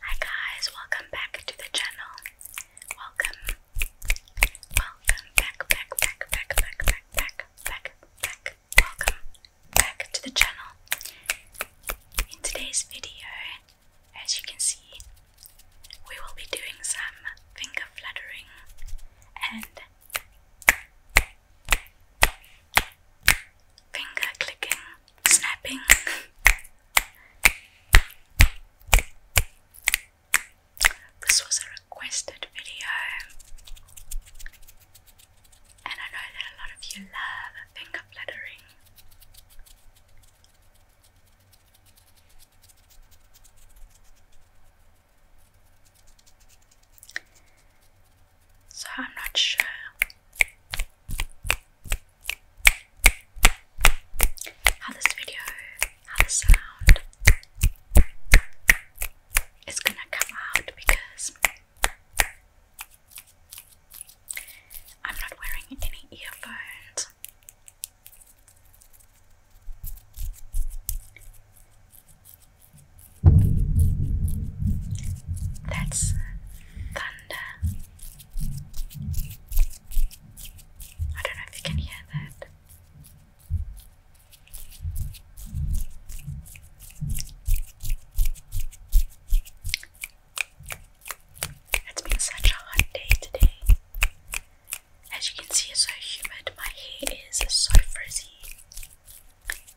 Hi guys, welcome back to the channel. Welcome. Welcome back, back, back, back, back, back, back, back, Welcome back to the channel. In today's video, as you can see, we will be doing some finger fluttering and finger clicking, snapping. this was a requested video, and I know that a lot of you love finger fluttering. So, I'm not sure how this video, how the sound is gonna come out because I'm not wearing any earphones. That's the I don't know if you can hear that. It's been such a hot day today. As you can see, it's so humid. My hair is so frizzy.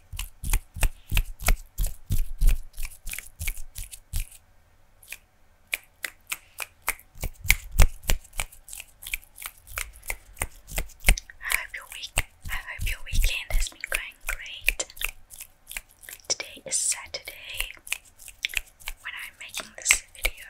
hope your week I hope your weekend has been going great. Today is Saturday when I'm making this video.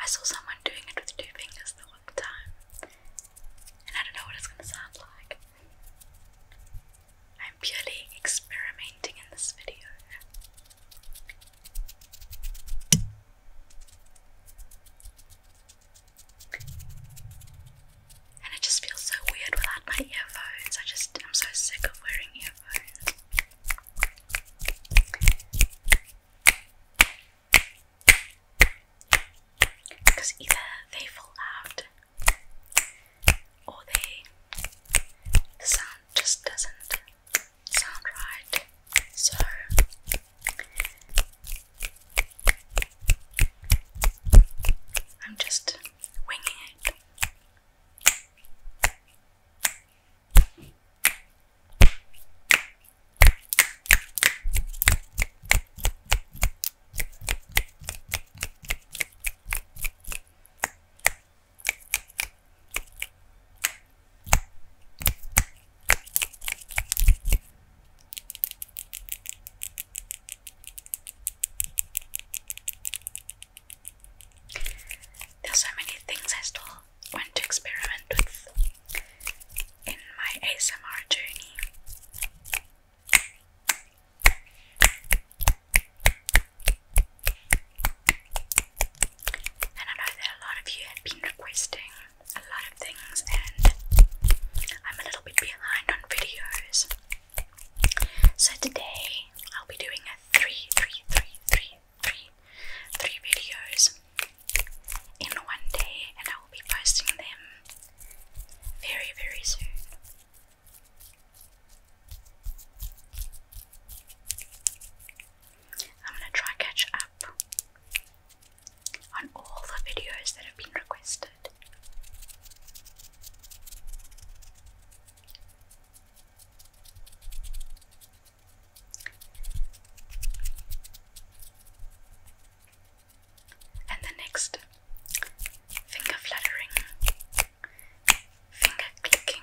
I saw someone doing it with two fingers the one time, and I don't know what it's going to sound like. I'm purely experimenting in this video. And it just feels so weird without my earphones. I just I'm so sick of wearing earphones. Because either they fall out or the sound just doesn't sound right. So I'm just winging it. There's so many things I still want to experiment with in my ASMR journey. And I know that a lot of you have been requesting a lot of things, and I'm a little bit behind on videos. So today I'll be doing a three, three, three, three, three, three videos in one day, and I will be posting them very, very soon. I'm gonna try catch up on all the videos that have been requested. And the next finger fluttering, finger clicking,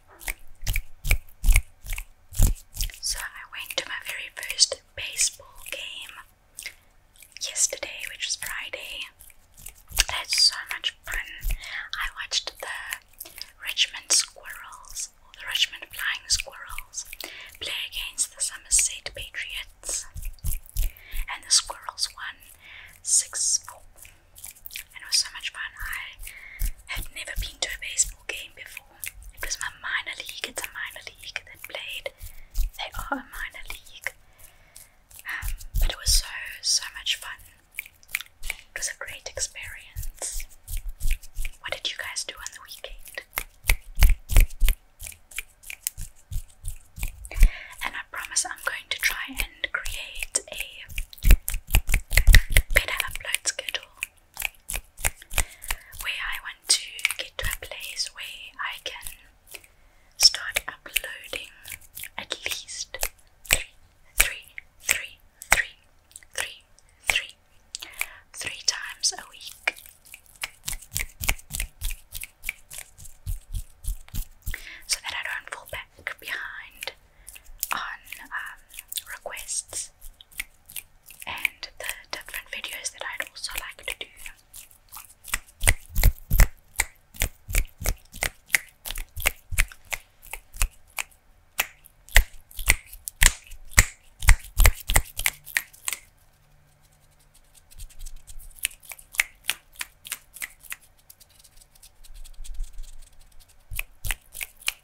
So I went to my very first baseball game yesterday, which was Friday. I had so much fun. I watched the Richmond Squirrels, or the Richmond Flying Squirrels, play against the Somerset Patriots, and the Squirrels won 6 4. And it was so much fun. I had never been to a baseball game before. It was my minor league, it's a minor league that played. They are a minor league. Um, but it was so, so much fun. It was a great experience. What did you guys do on the weekend? And I promise I'm going to try and create a better upload schedule where I want to get to a place where I can start uploading at least three, three, three, three, three, three, three times a week. So that I don't fall back behind on um, requests and the different videos that I'd also like to do.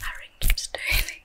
Harrington Sterling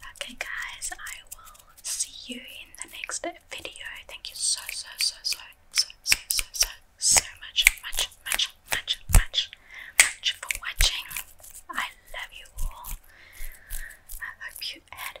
Okay, guys, I will see you in the next video. Thank you so, so, so, so, so, so, so, so, much, much, much, much, much, much for watching. I love you all. I hope you had